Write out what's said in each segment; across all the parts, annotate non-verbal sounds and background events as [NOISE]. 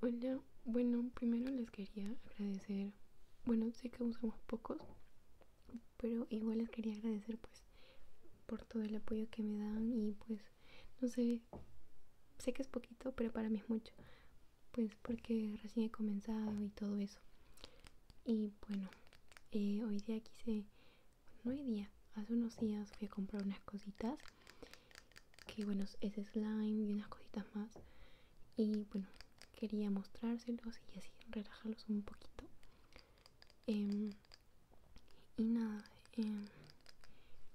Hola, bueno, primero les quería agradecer, bueno, sé que usamos pocos, pero igual les quería agradecer pues por todo el apoyo que me dan y pues, no sé, sé que es poquito, pero para mí es mucho, pues porque recién he comenzado y todo eso bueno eh, hoy día quise no hoy día hace unos días fui a comprar unas cositas que bueno es slime y unas cositas más y bueno quería mostrárselos y así relajarlos un poquito em, y nada em,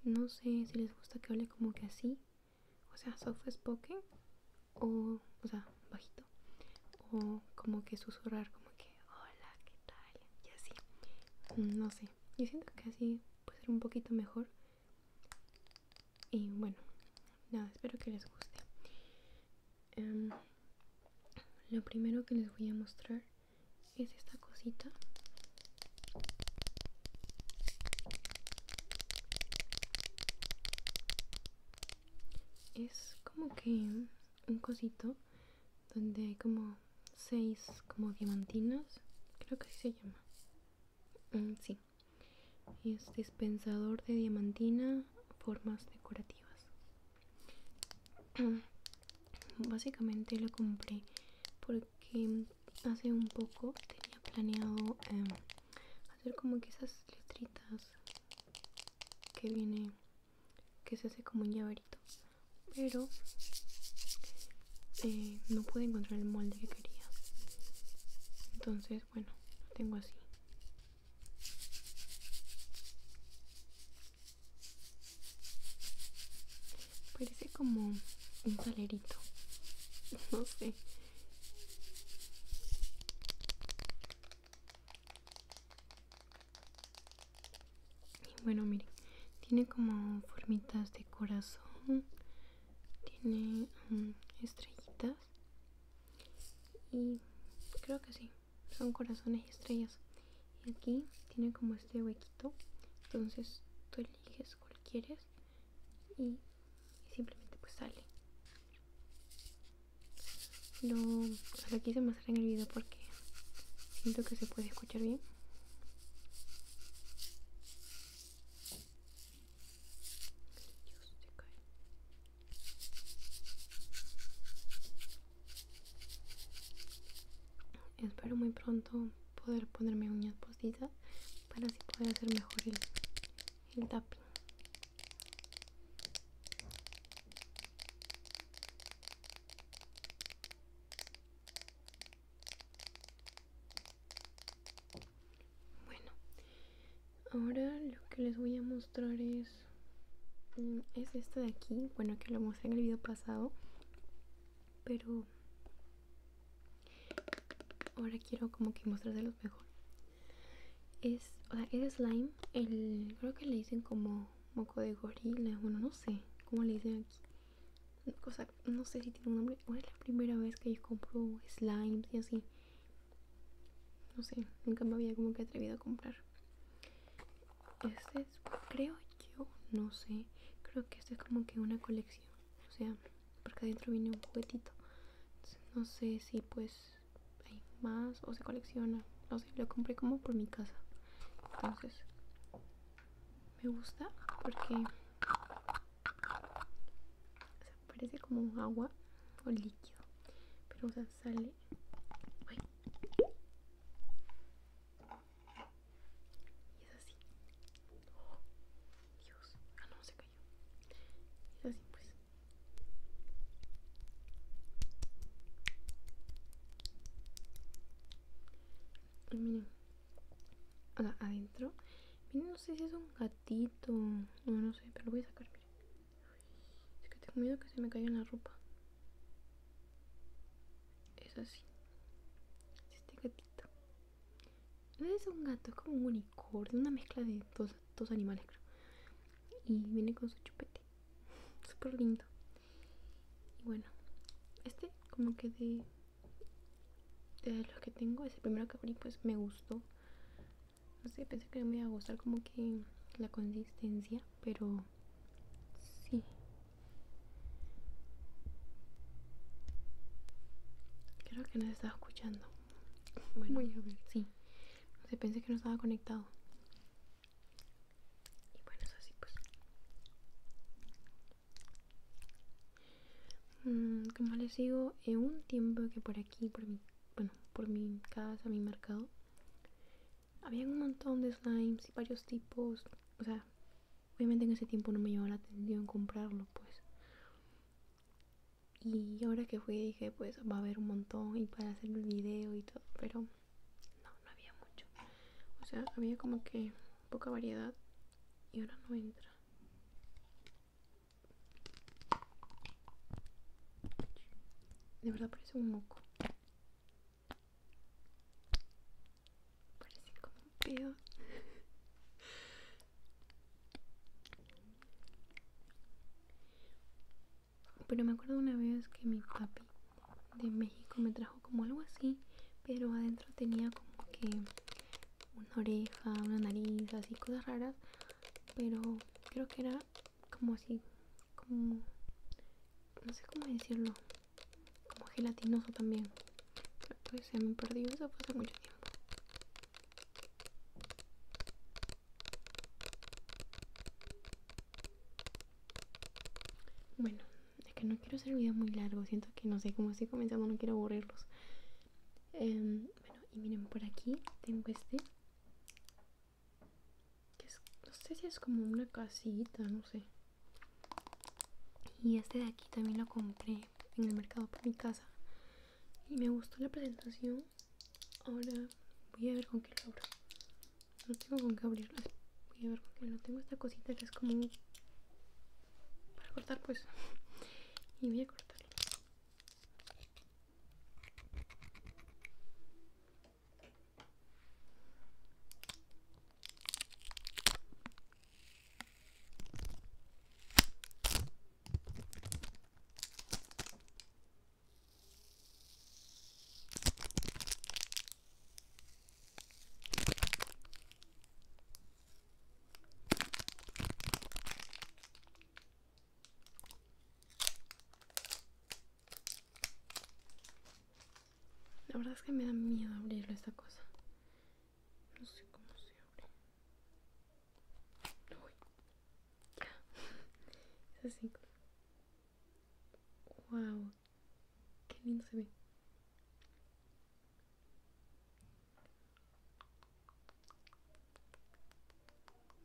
no sé si les gusta que hable como que así o sea soft spoken o, o sea, bajito, o como que susurrar, como que hola, ¿qué tal? Y así, no sé, yo siento que así puede ser un poquito mejor. Y bueno, nada, espero que les guste. Em, lo primero que les voy a mostrar es esta cosita es como que un cosito donde hay como seis como diamantinas creo que así se llama mm, sí es dispensador de diamantina formas decorativas [CLEARS THROAT] básicamente lo compré porque hace un poco tenía planeado em, hacer como que esas letritas que viene que se hace como un llaverito pero eh, no pude encontrar el molde que quería entonces bueno tengo así parece como un salerito [LAUGHS] no sé y bueno miren tiene como formitas de corazón tiene mm, estrellitas y creo que sí son corazones y estrellas y aquí tiene como este huequito entonces tú eliges cualquiera quieres y, y simplemente pues sale lo, lo quise mostrar en el video porque siento que se puede escuchar bien Espero muy pronto poder ponerme uñas postizas para así poder hacer mejor el, el tapping. Bueno, ahora lo que les voy a mostrar es mm, es esto de aquí, bueno que lo mostré en el video pasado, pero ahora quiero como que mostrárselos mejor es o sea, es slime el creo que le dicen como moco de gorila bueno no sé cómo le dicen aquí no sé si tiene un nombre una es la primera vez que yo compro slime y así no sé nunca me había como que atrevido a comprar este es creo yo no sé creo que este es como que una colección o sea porque adentro viene un juguetito no sé si pues hay más o se colecciona no sé lo compré como por mi casa entonces me gusta porque parece como agua o líquido pero o sea sale y es así oh, Dios ah no se cayó es así pues miren, adentro, miren, no sé si es un gatito, no, no sé, pero lo voy a sacar, miren. Es que tengo miedo que se me caiga en la ropa. Es así. este gatito. No es un gato, es como un unicornio, una mezcla de dos, dos animales, creo. Y viene con su chupete super lindo y bueno este como que de los que tengo es el primero que abrí pues me gustó no sé pensé que me iba a gustar como que la consistencia pero sí creo que no se estaba escuchando bueno sí no sé pensé que no estaba conectado y bueno, es así pues. Mm, como les digo, en eh, un tiempo que por aquí, por mi, bueno, por mi casa, mi mercado, había un montón de slimes y varios tipos. O sea, obviamente en ese tiempo no me llevaba la atención comprarlo, pues. Y ahora que fui dije, pues va a haber un montón y para hacer el video y todo, pero no, no había mucho. O sea, había como que poca variedad y ahora no entra. De verdad parece un moco. Parece como un pedo. Pero me acuerdo una vez que mi papi de México me trajo como algo así, pero adentro tenía como que una oreja, una nariz, así cosas raras. Pero creo que era como así, como... No sé cómo decirlo. Como gelatinoso también. Pues se me perdió eso hace mucho tiempo. Bueno, es que no quiero hacer el video muy largo. Siento que no sé cómo estoy comenzando, no quiero aburrirlos. Em, bueno, y miren, por aquí tengo este. no sé si es como una casita, no sé. Y este de aquí también lo compré en el mercado por mi casa. Y me gustó la presentación. Ahora voy a ver con qué lo no tengo con qué abrirlo voy a ver con porque no tengo esta cosita que es como para cortar pues y voy a cortarlo la verdad es que me da miedo abrirlo esta cosa. No sé cómo se abre. [LAUGHS] Wow, qué lindo se ve.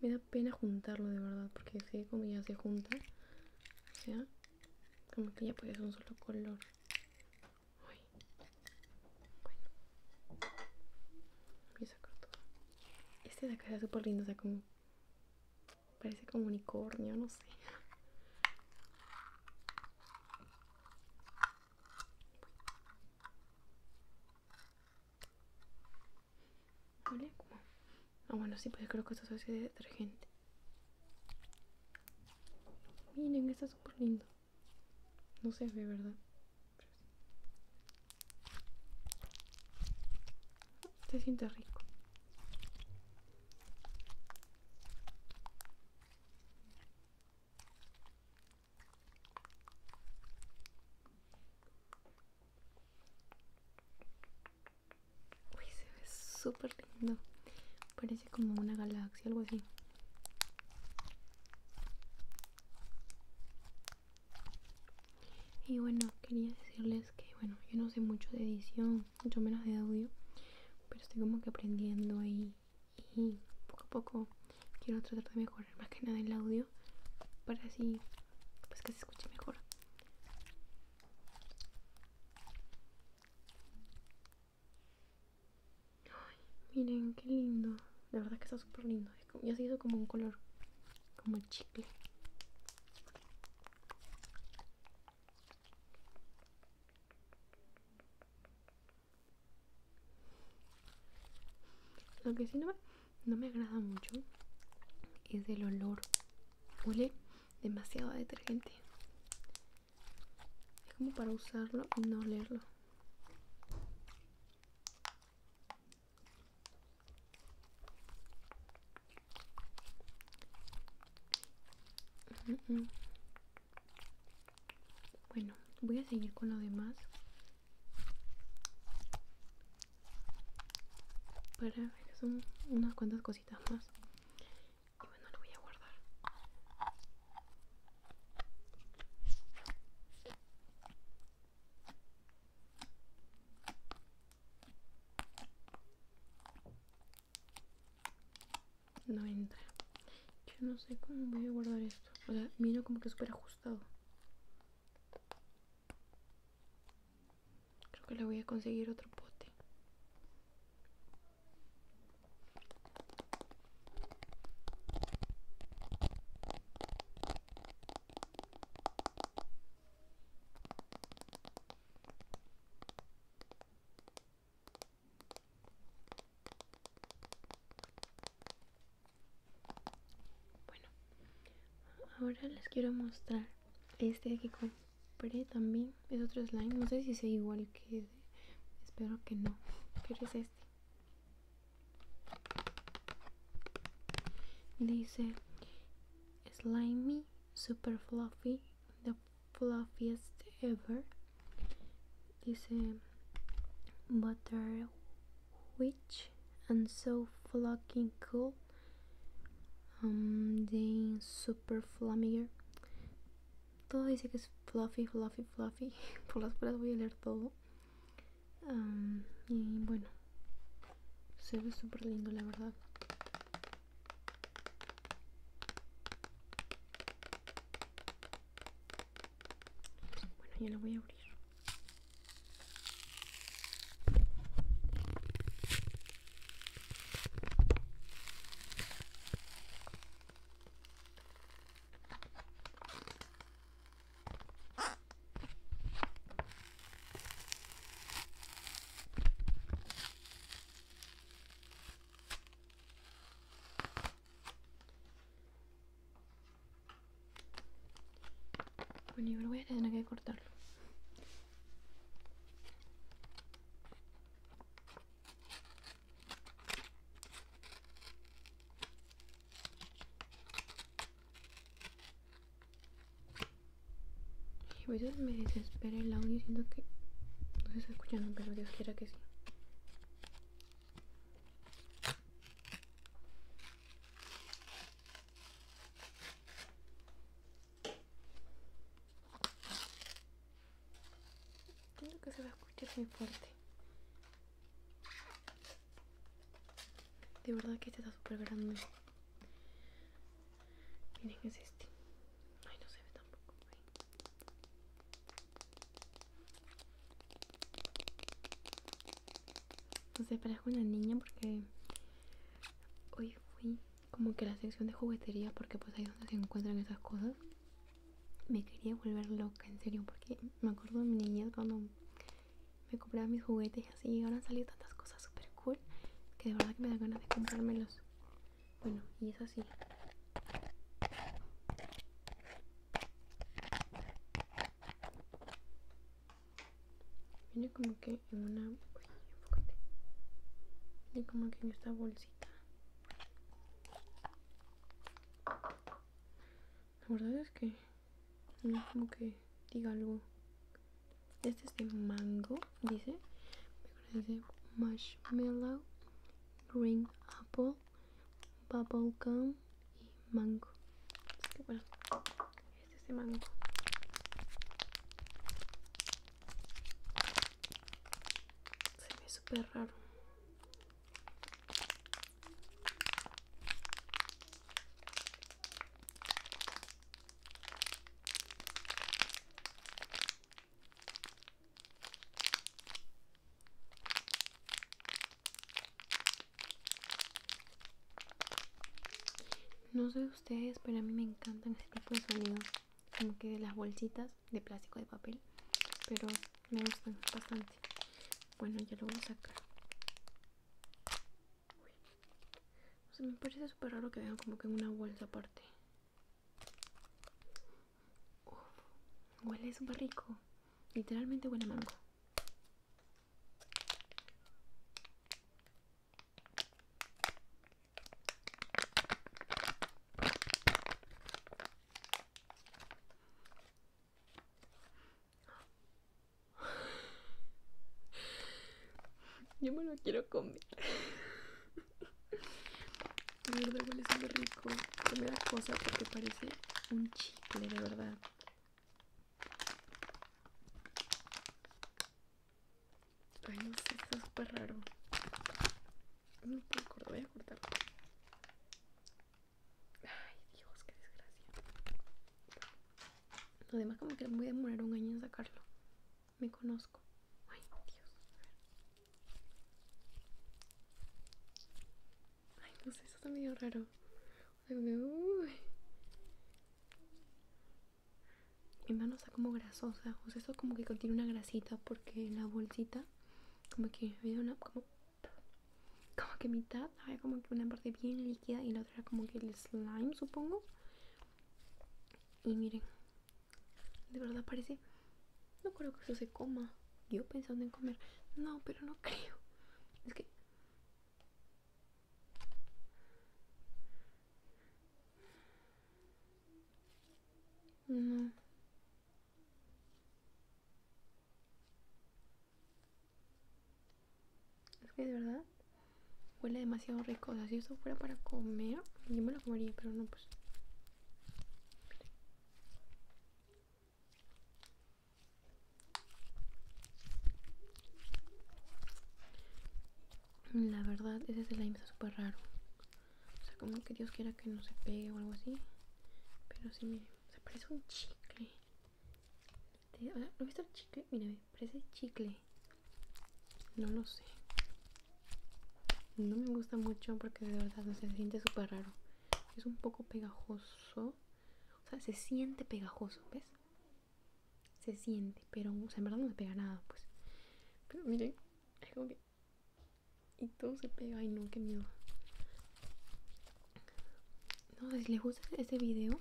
Me da pena juntarlo de verdad, porque sé como ya se junta. O sea, como que ya puede ser un solo color. Bueno. Voy a sacar todo. Este de acá es súper lindo, o sea, como Parece como unicornio, no sé. Ah, bueno, sí, pues creo que esto es de detergente. Miren, está súper lindo. No se ve, ¿verdad? se siente rico Uy, se ve súper lindo parece como una galaxia algo así y bueno quería decirles es que bueno yo no sé mucho de edición mucho menos de audio pero estoy como que aprendiendo ahí y, poco a poco quiero tratar de mejorar más que nada el audio para así pues que se escuche mejor miren qué lindo la verdad que está súper lindo ya se hizo como un color como chicle lo que sí no me, no me agrada mucho es el olor. Huele demasiado a detergente. Es como para usarlo y no olerlo. Mm, mm. Bueno, voy a seguir con lo demás para que son unas cuantas cositas más y bueno lo voy a guardar no entra. Yo no sé cómo voy a guardar esto. O sea, miro como que súper ajustado. Creo que le voy a conseguir otro pote. Bueno, ahora les quiero mostrar este que compré también. Es otro slime. No sé si sea igual que Espero que no. Pero es este. Dice Slimy Super Fluffy the fluffiest ever is a butter witch and so fucking cool um then super flamiger todo dice que es fluffy fluffy fluffy [LAUGHS] por las palabras voy a leer todo um, y bueno se ve súper lindo la verdad Bueno, ya lo voy a abrir. Bueno, yo voy a tener que cortarlo. Y a veces me desespera el audio diciendo que no se está escuchando, pero Dios quiera que sí. siento que se va a escuchar muy fuerte. De verdad que este está súper grande. Miren, es este. Ay, no se ve tampoco. No sé, parezco una niña porque hoy fui como que a la sección de juguetería porque pues ahí es donde se encuentran esas cosas. Me quería volver loca, en serio, porque me acuerdo de mi niñez cuando me compraba mis juguetes y así. Y ahora han salido tantas cosas super cool que de verdad que me dan ganas de comprármelos. Bueno, y es así. Viene como que en una... Uy, enfócate. Viene como que en esta bolsita. La verdad es que no es como que diga algo este es de mango, dice. Dice marshmallow, green apple, Bubble bubblegum y mango. que bueno, este es de mango. Se ve súper raro. No sé ustedes, pero a mí me encantan este tipo de sonidos, como que de las bolsitas de plástico de papel, pero me gustan bastante. Bueno, ya lo voy a sacar. me parece súper raro que vean como que en una bolsa aparte huele súper rico. Literalmente huele a mango. Yo me lo quiero comer. De verdad huele súper rico. Primera cosa porque parece un chicle, de verdad. Ay, no sé, es súper raro. No me acuerdo, voy a cortarlo. Ay, Dios, qué desgracia. Lo demás como que me voy a demorar un año en sacarlo me conozco. Ay, Dios. Ay, no sé, eso está medio raro. Mi mano está como grasosa. O sea, eso como que contiene una grasita porque la bolsita como que una como que mitad había como que una parte bien líquida y la otra como que el slime supongo y miren de verdad parece. No creo que eso se coma. Yo pensando en comer. No, pero no creo. Es que. No. Es que de verdad huele demasiado rico. O sea, si esto fuera para comer, yo me lo comería, pero no, pues la verdad, ese es slime está súper raro. O sea, como que Dios quiera que no se pegue o algo así. Pero sí, miren, se parece un chicle. Este, ¿No viste el chicle? Mira, parece chicle. No lo sé no me gusta mucho porque de verdad se siente súper raro es un poco pegajoso o sea se siente pegajoso ves se siente pero en verdad no se pega nada pues pero miren es como que y todo se pega ay no qué miedo no si les gusta este video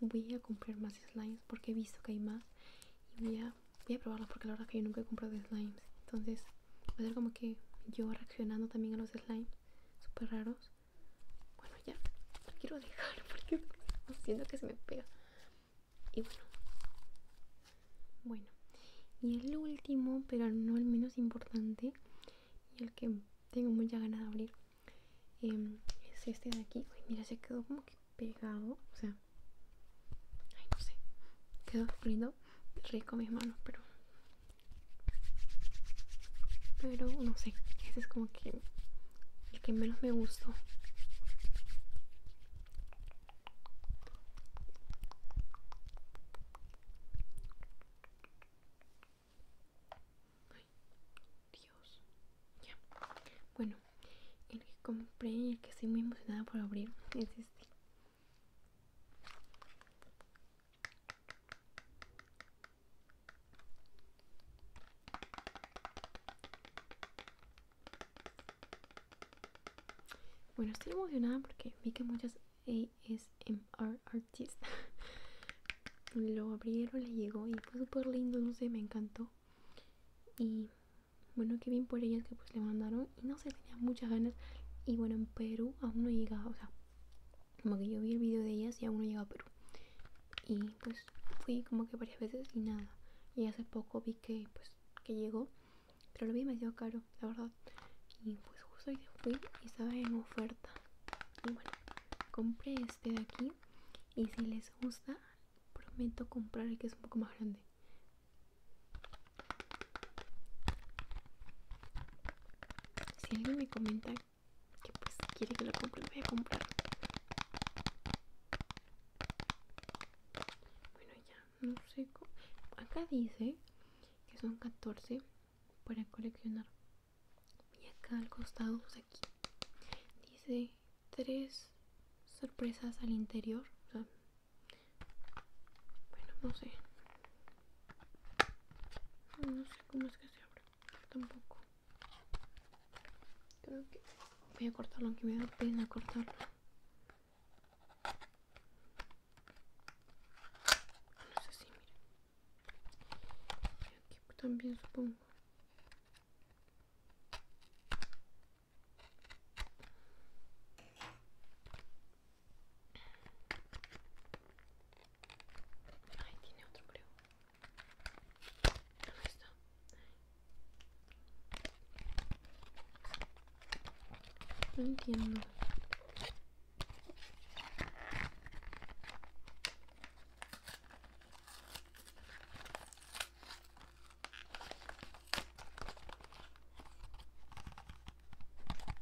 voy a comprar más slimes porque he visto que hay más y voy a voy a probarlo porque la verdad es que yo nunca he comprado slimes. Entonces va a ser como que yo reaccionando también a los slimes súper raros. Bueno, ya lo quiero dejar [LAUGHS] porque siento que se me pega. Y bueno. Bueno. Y el último, pero no el menos importante, y el que tengo mucha ganas de abrir, em, es este de aquí. Uy, mira, se quedó como que pegado. O sea, Ay, no sé. Quedó frío rico mis manos, pero. Pero no sé. Ese es como que. El que menos me gustó. Ay, Dios. Ya. Bueno, el que compré y el que estoy muy emocionada por abrir es este. Bueno, estoy emocionada porque vi que muchas ASMR artists [LAUGHS] lo abrieron, le llegó y fue súper lindo, no sé, me encantó. Y bueno, que bien por ellas que pues le mandaron y no se tenía muchas ganas. Y bueno, en Perú aún no llega o sea, como que yo vi el video de ellas y aún no llega a Perú. Y pues fui como que varias veces y nada. Y hace poco vi que pues que llegó, pero lo vi demasiado caro, la verdad. Y pues justo hoy fui y estaba en oferta. Y bueno, compré este de aquí y si les gusta, prometo comprar el que es un poco más grande. Si alguien me comenta que pues quiere que lo compre, lo voy a comprar. Bueno, ya, no sé cómo. Acá dice que son 14 para coleccionar. Y acá al costado, pues aquí, dice tres sorpresas al interior. O sea, bueno, no sé. No sé cómo es que se abre. Tampoco. Creo que voy a cortarlo, aunque me da pena cortarlo. No sé si, mira. Aquí también supongo. Ay, tiene otro creo. No está. No entiendo.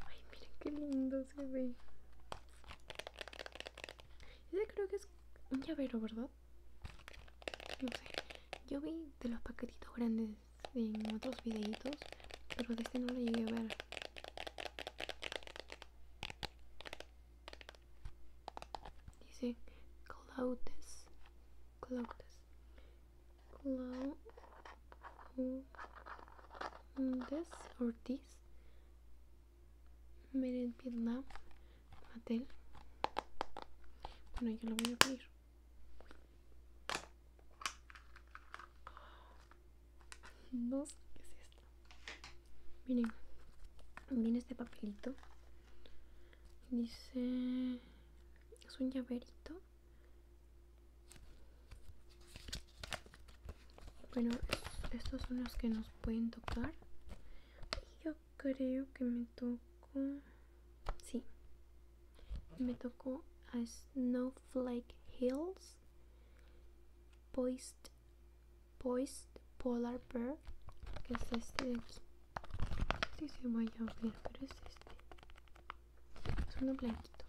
Ay, miren qué lindo se ve. Ese creo que es un llavero, ¿verdad? No sé. Yo vi de los paquetitos grandes en otros videitos, pero de este no lo llegué a ver. Dice cloutes, cloutes, Clown this o this made Mattel bueno yo lo voy a abrir no sé qué es esto miren viene este papelito dice es un llaverito bueno, estos son los que nos pueden tocar. Yo creo que me tocó... Sí. Me tocó a Snowflake Hills. Poised, Poised Polar Bear. Que es este de aquí. si se vaya a ver, pero es este es uno blanquito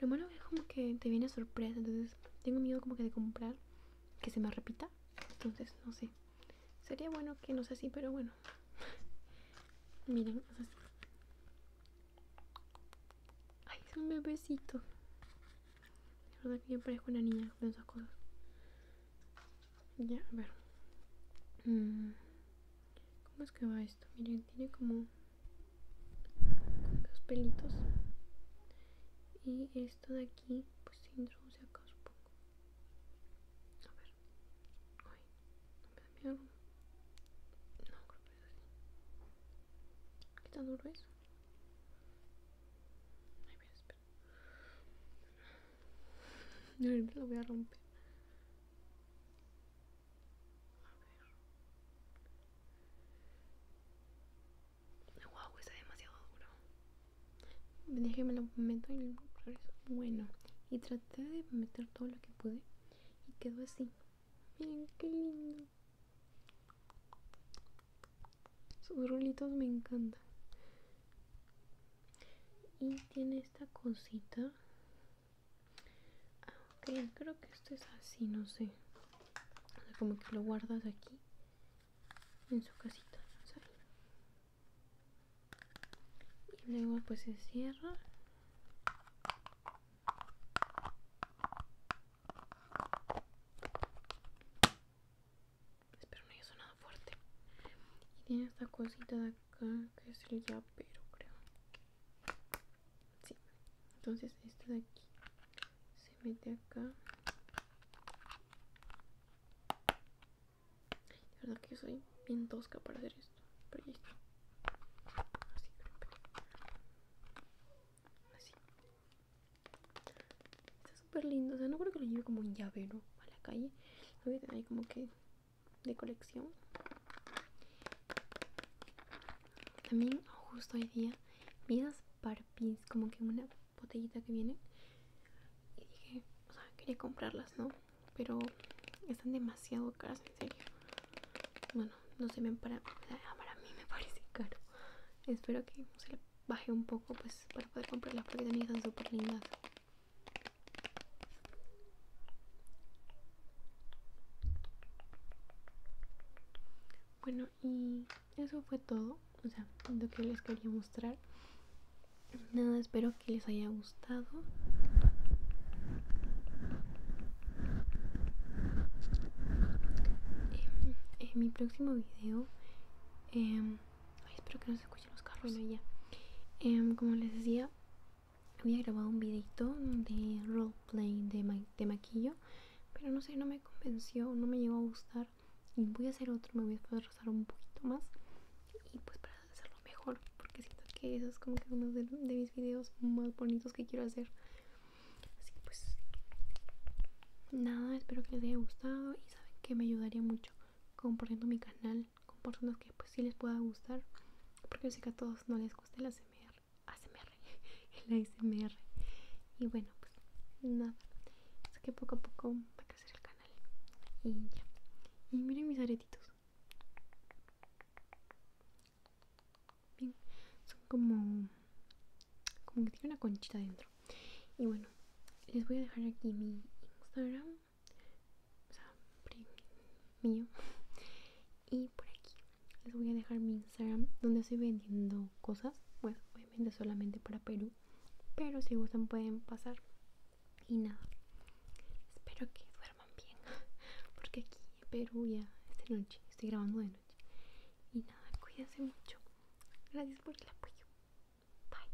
lo malo es como que te viene sorpresa entonces tengo miedo como que de comprar que se me repita entonces no sé sería bueno que no sea así pero bueno [LAUGHS] miren es así ay es un bebecito de verdad que yo parezco una niña con esas cosas ya a ver mm. ¿Cómo es que va esto? Miren, tiene como dos pelitos. Y esto de aquí, pues se introduce acá, supongo. A ver. Ay, no me da No, creo que es así. ¿Qué tan duro es? Ay, mira, espera. No, lo voy a romper. A ver. Wow, está demasiado duro. Déjeme lo meto y regreso. Bueno, y traté de meter todo lo que pude y quedó así. Miren qué lindo. Sus rulitos me encantan y tiene esta cosita ah, creo que esto es así no sé como que lo guardas aquí en su casita y luego pues se cierra espero no haya sonado fuerte y tiene esta cosita de acá que es el llavero creo sí entonces este de aquí se mete acá De verdad que yo soy bien tosca para hacer esto pero ya está así así está súper lindo o sea no creo que lo lleve como un llavero a la calle No, voy ahí como que de colección también justo hoy día vidas para pins como que una botellita que viene y dije o sea quería comprarlas no pero están demasiado caras en serio bueno no se ven para para mí me [LAUGHS] parece caro espero que se le baje un poco pues para poder comprarlas porque también están súper lindas bueno, y eso fue todo, o sea, lo que les quería mostrar. Nada, espero que les haya gustado. Em, en mi próximo video, em, espero que no se escuchen los carros. ya, em, como les decía, había grabado un videito de roleplay de, maquillo pero no sé no me convenció no me llegó a gustar y voy a hacer otro me voy a esforzar un poquito más y pues para hacerlo mejor porque siento que eso es como que uno de, de mis videos más bonitos que quiero hacer así que pues nada espero que les haya gustado y saben que me ayudaría mucho compartiendo mi canal con personas que pues si les pueda gustar porque yo sé que a todos no les gusta el ASMR, ASMR [LAUGHS] el ASMR y bueno pues nada es que poco a poco va a crecer el canal y ya y miren mis aretitos son como como que tiene una conchita dentro y bueno les voy a dejar aquí mi Instagram o sea, mío. Y por aquí les voy a dejar mi Instagram donde estoy vendiendo cosas. Bueno, obviamente solamente para Perú. Pero si gustan pueden pasar. Y nada. Espero que duerman bien. [LAUGHS] Porque aquí en Perú ya es de noche. Estoy grabando de noche. Y nada, cuídense mucho. Gracias por el apoyo. Bye